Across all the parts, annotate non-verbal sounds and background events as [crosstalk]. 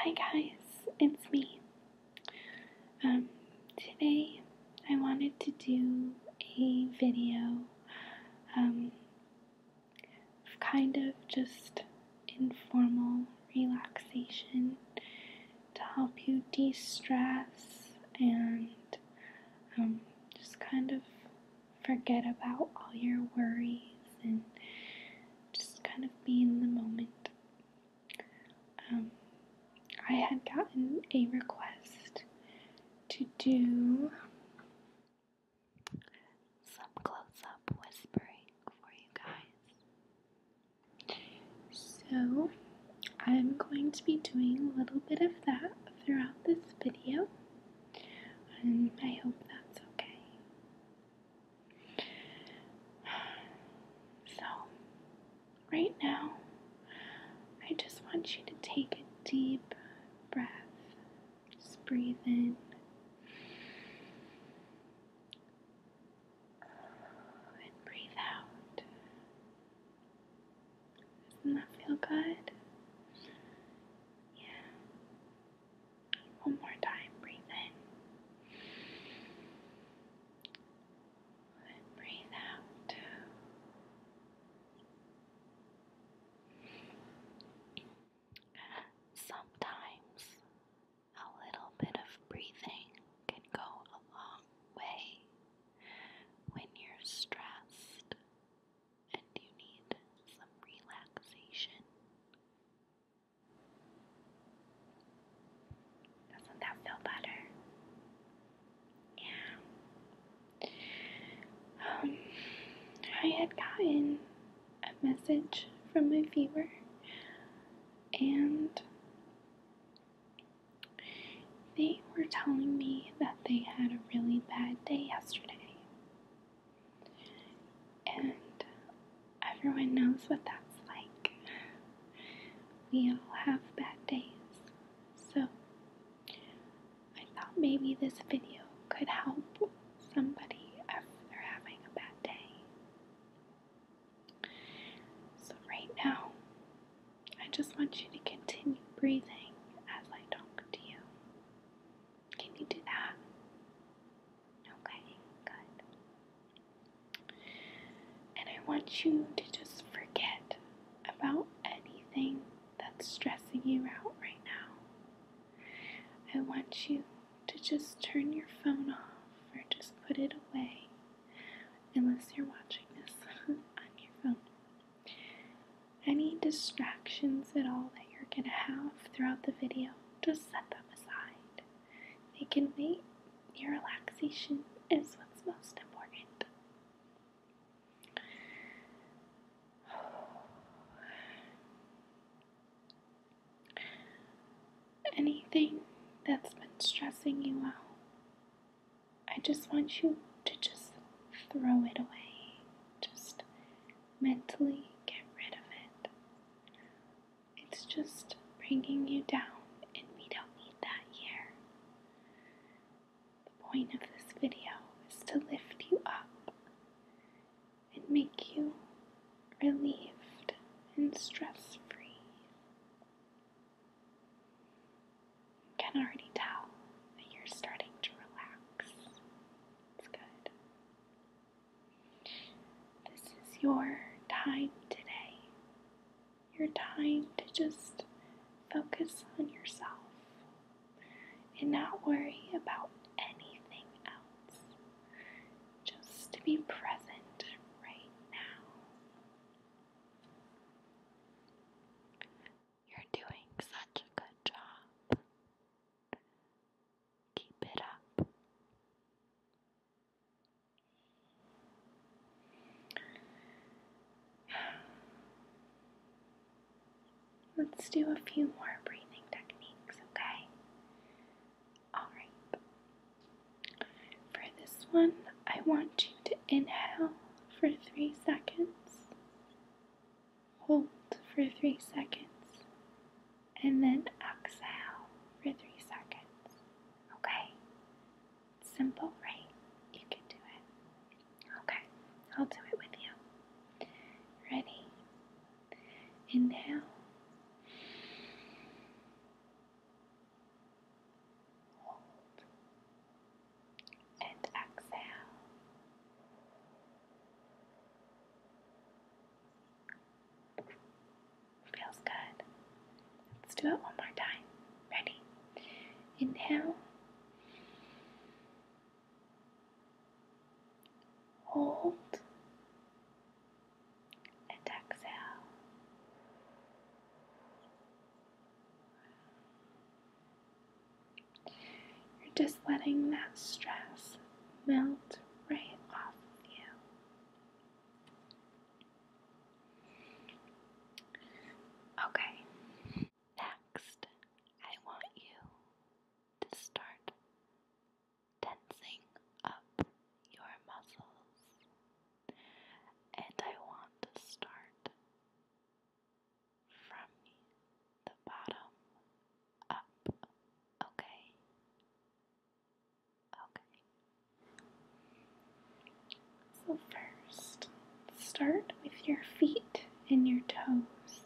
Hi guys, it's me. Um, today I wanted to do a video um, kind of just informal relaxation to help you de stress and um, just kind of forget about all your worries and just kind of be in the moment. Um, I had gotten a request to do some close up whispering for you guys. So I'm going to be doing a little bit of that throughout this video, and I hope that's okay. So, right now, I just want you to take a deep breath. Just breathe in. And breathe out. Doesn't that feel good? Yeah. One more time, breathe in. breathe out. Sometimes a little bit of breathing can go a long way when you're stressed and you need some relaxation. Doesn't that feel better? Yeah. Um, I had gotten a message from my viewer, and they were telling me that they had a really bad day yesterday. And everyone knows what that's like. We all have bad days. So I thought maybe this video could help somebody if they're having a bad day. So right now, I just want you to continue breathing as I talk to you. Can you do that? Okay, good. And I want you to just forget about anything that's stressing you out right now. I want you to just turn your phone off or just put it away, unless you're watching this [laughs] on your phone. Any distractions at all that you're going to have throughout the video, just set them aside. They can wait. Your relaxation is what's most important. [sighs] Anything that's been stressing you out, I just want you to just throw it away just mentally get rid of it. It's just bringing you down, and we don't need that here. The point of this video is to lift you up and make you relieved and stress free can already tell that you're starting to relax. It's good. This is your time today. Your time to just focus on yourself and not worry about anything else. Just to be present right now. You're doing such a good job. Keep it up. Let's do a few more breathing techniques, okay? Alright. For this one, I want you to inhale for three seconds Hold for three seconds and then exhale for three seconds. Okay? Simple, right? You can do it. Okay, I'll do it with you. Ready? Inhale. Hold and exhale. Feels good. Let's do it one more time. Ready? Inhale. Hold and exhale. You're just letting that stress melt right off of you. Okay, next I want you to start tensing up your muscles, and I want to start from the bottom up. Okay. Okay. So, first, start with your feet and your toes.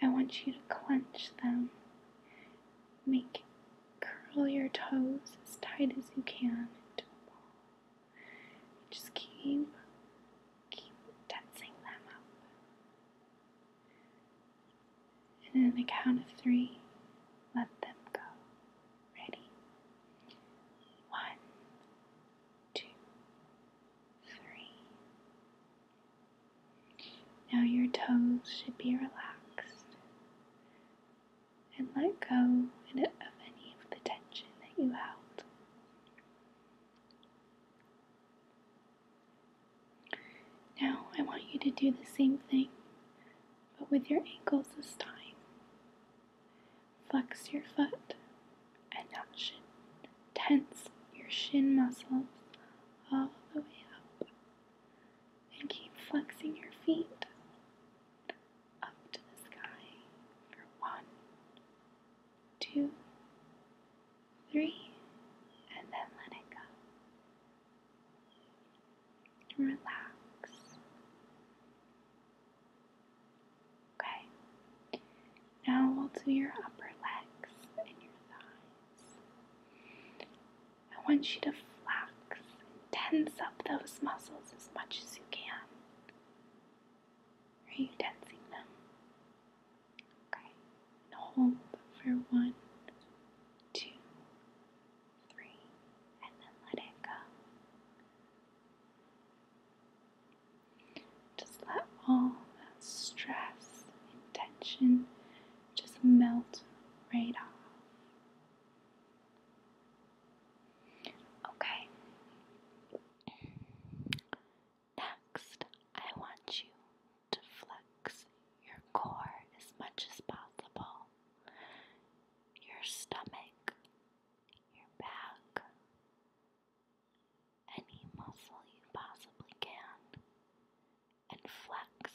I want you to clench them. Make curl your toes as tight as you can into a ball. Just keep, keep tensing them up. And on the count of three, let them go. Ready? One, two, three. Now your toes should be relaxed and let go of any of the tension that you held. Now, I want you to do the same thing, but with your ankles this time. Flex your foot and now Tense your shin muscles all the way up. And keep flexing your feet up to the sky for one, two, three, and then let it go. Relax. Okay, now we'll do your upper legs and your thighs. I want you to flex and tense up those muscles as much as you can. Are you tensing them? Okay. hold for one, two, three, and then let it go. Just let all that stress and tension just melt right off. Okay. Next, I want you to flex your core as much as possible. Your stomach, your back, any muscle you possibly can, and flex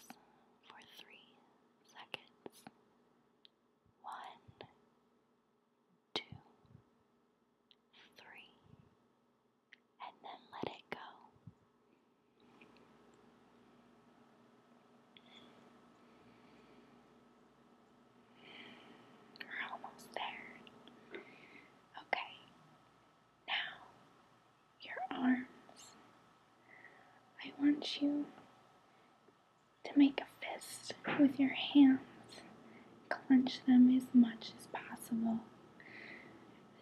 for three seconds. One, two, three, and then let it go. We're almost there. Okay, now your arms. I want you to make a fist with your hands. Clench them as much as possible.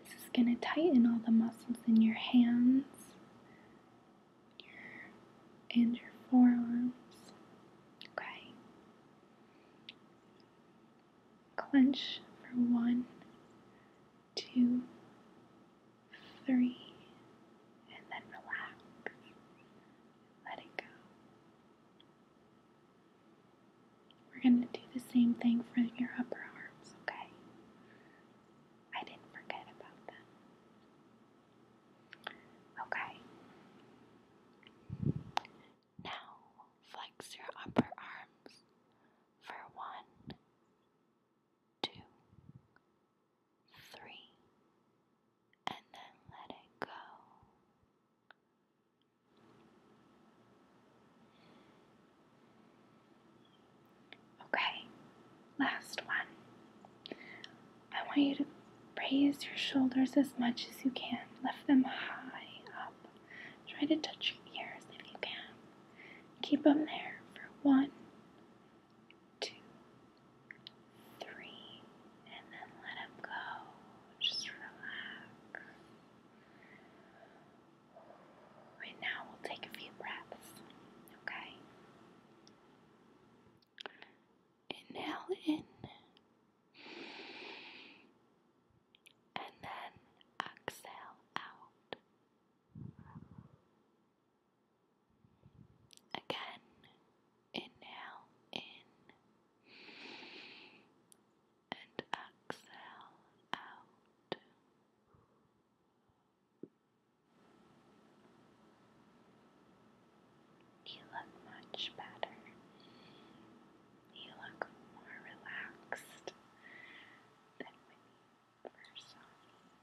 This is going to tighten all the muscles in your hands your, and your forearms. Okay. Clench for one, two, three, and then relax. Let it go. We're going to do the same thing for your upper arms, okay? I didn't forget about them. Okay. Now flex your upper arms for one, two, three, and then let it go. Okay, last one. I want you to raise your shoulders as much as you can, lift them high up. Try to touch your ears if you can. Keep them there for one, two, three, and then let them go. Just relax. And now we'll take a few breaths, okay? Inhale in. And then exhale out. Again, inhale in and exhale out. You look much better. You look more relaxed than when you first saw me.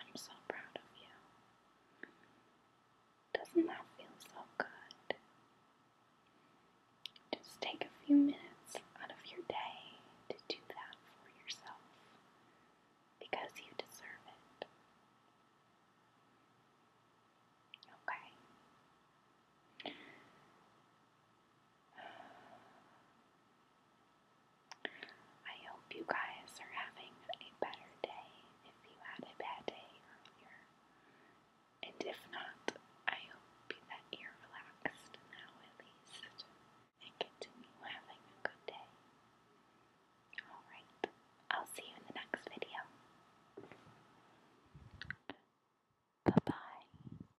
I'm so proud of you. Doesn't that feel so good? Just take a few minutes out of your day to do that for yourself because you deserve it. Okay. I hope you guys are having a better day if you had a bad day earlier. And if not, I hope that you're relaxed now at least and continue having a good day. Alright, I'll see you in the next video. Bye bye.